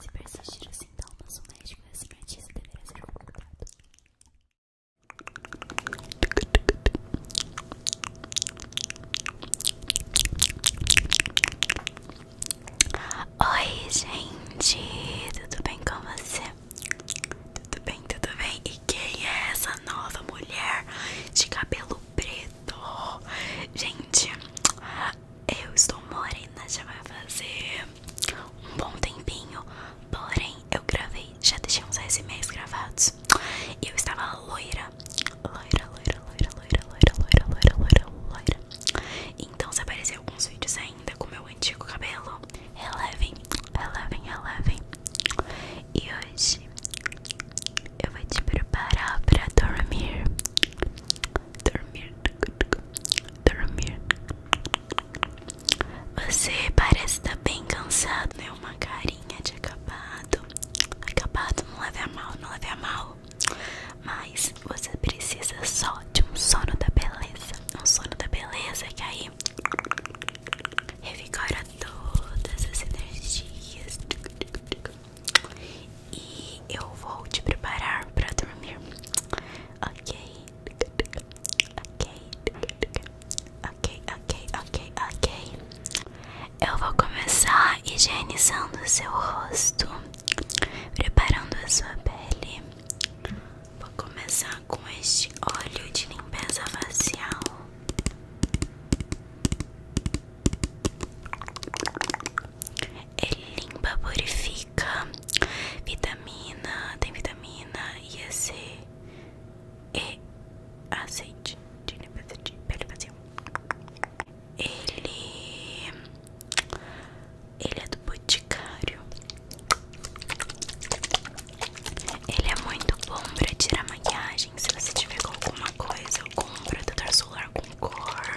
se persistir os sintomas, o médico e o cientista deverá ser consultado. Oi, gente, tudo bem com você? Tudo bem, tudo bem? E quem é essa nova mulher de cabelo preto? Gente, eu estou morena, já vai fazer um bom tempinho. Porém, eu gravei, já deixei uns SMEs gravados. eu estava loira. Loira, loira, loira, loira, loira, loira, loira, loira, loira. Então, se aparecer alguns vídeos ainda com meu antigo cabelo, relevem, relevem, relevem. E hoje eu vou te preparar para dormir dormir, dormir. Você parece estar tá bem cansado, né? Uma carinha de acabado, acabado. Não leve a mal, não leve a mal. Mas você precisa só de um sono da beleza, um sono da beleza que aí revigora todas as energias. E eu vou te preparar para dormir. Ok. Ok. Ok, ok, ok, ok. Eu vou começar higienizando o seu rosto, preparando a sua pele. Vou começar com este óleo de limpeza facial. Ele é limpa, purifica Vitamina, tem vitamina E, C E, azeite de pele vazia Ele Ele é do boticário Ele é muito bom pra tirar maquiagem Se você tiver com alguma coisa Algum protetor solar com cor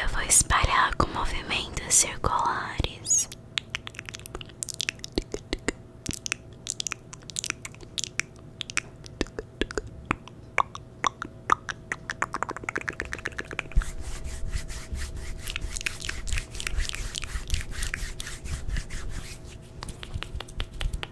Eu vou espalhar com movimentos circulares.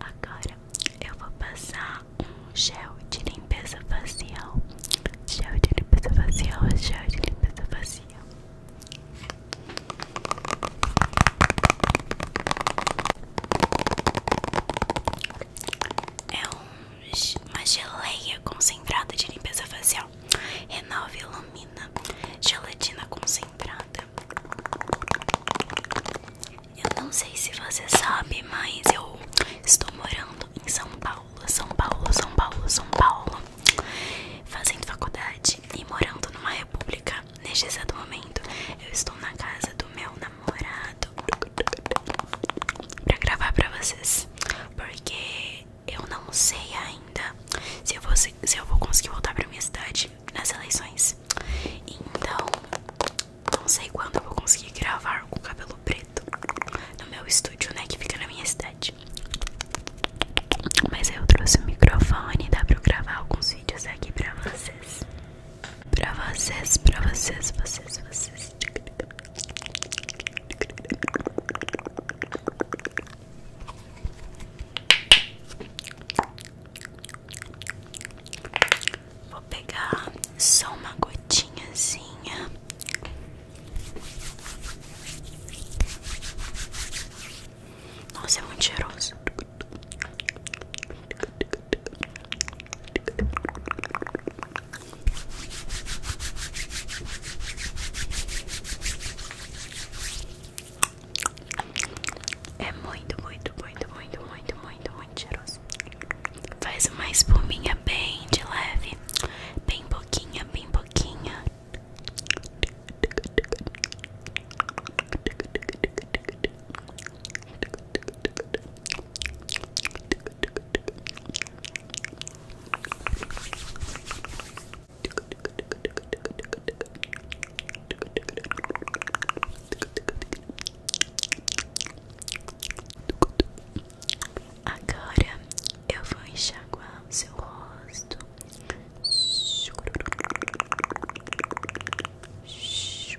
Agora eu vou passar um gel de limpeza facial. Gel de limpeza facial, gel de limpeza facial. É um, uma geleia concentrada de limpeza facial. Renova e ilumina. Gelatina concentrada. Eu não sei se você sabe, mas eu estou morando em São Paulo. São Paulo, São Paulo, São Paulo. Fazendo faculdade e morando numa república. Neste exato momento, eu estou na casa do meu namorado namorado pra gravar pra vocês. Porque eu não sei ainda se eu vou, conseguir voltar pra minha cidade nas eleições. Então, não sei quando eu vou conseguir gravar com cabelo preto no meu estúdio, né? Que fica na minha cidade. Mas eu trouxe o microfone, dá pra gravar alguns vídeos aqui pra vocês. Pra vocês, pra vocês, vocês, vocês Vou pegar só uma gotinhazinha Nossa, é muito cheiroso é muito, muito, muito, muito, muito, muito, muito cheiroso. Faz uma espuminha bem de leve, bem pouquinha, bem pouquinha. Agora eu vou enxaguar o seu rosto. Shoo. Shoo.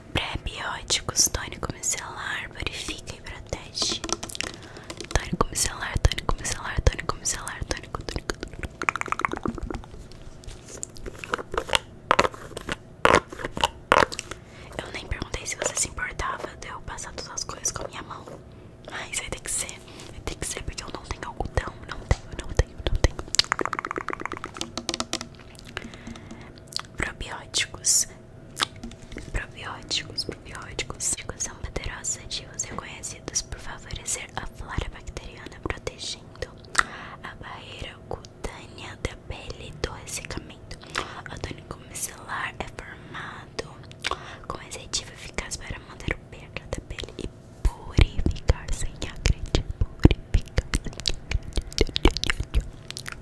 prebióticos bióticos tônico micelar, purifica e protege. Tônico micelar, tônico micelar, tônico micelar, tônico, tônico, Eu nem perguntei se você se importava de eu passar todas as coisas com a minha mão. Mas vai tem que ser, tem que ser porque eu não tenho algodão, não tenho, não tenho, não tenho. Probióticos Probióticos. Probióticos são poderosos ativos reconhecidos por favorecer a flora bacteriana, protegendo a barreira cutânea da pele do ressecamento. O tônico micelar é formado com esse ativo eficaz para manter o pH da pele e purificar sem acreditar. Purificar sem acreditar.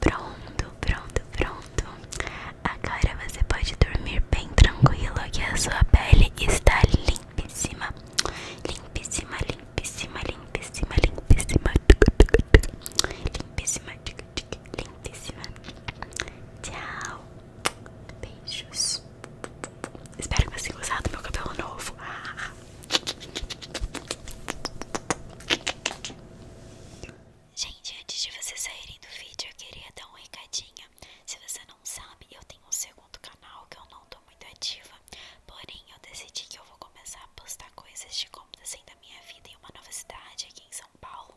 Pronto, pronto, pronto. Agora você pode dormir bem tranquilo que a sua pele está limpíssima. Limpíssima, limpíssima, limpíssima, limpíssima. Limpíssima, limpíssima. Tchau. Beijos. Espero que você tenha gostado do meu cabelo novo. Gente, antes de vocês saírem do vídeo, eu queria dar uma recadinha. Se você não sabe, eu tenho um segundo canal que eu não tô muito ativa. Porém, eu decidi que eu vou começar a postar coisas de como tá sendo a assim minha vida em uma nova cidade aqui em São Paulo.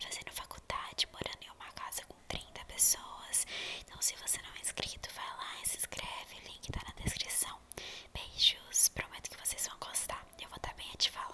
Fazendo faculdade, morando em uma casa com 30 pessoas. Então, se você não é inscrito, vai lá e se inscreve. O link tá na descrição. Beijos, prometo que vocês vão gostar. Eu vou estar bem a te falar.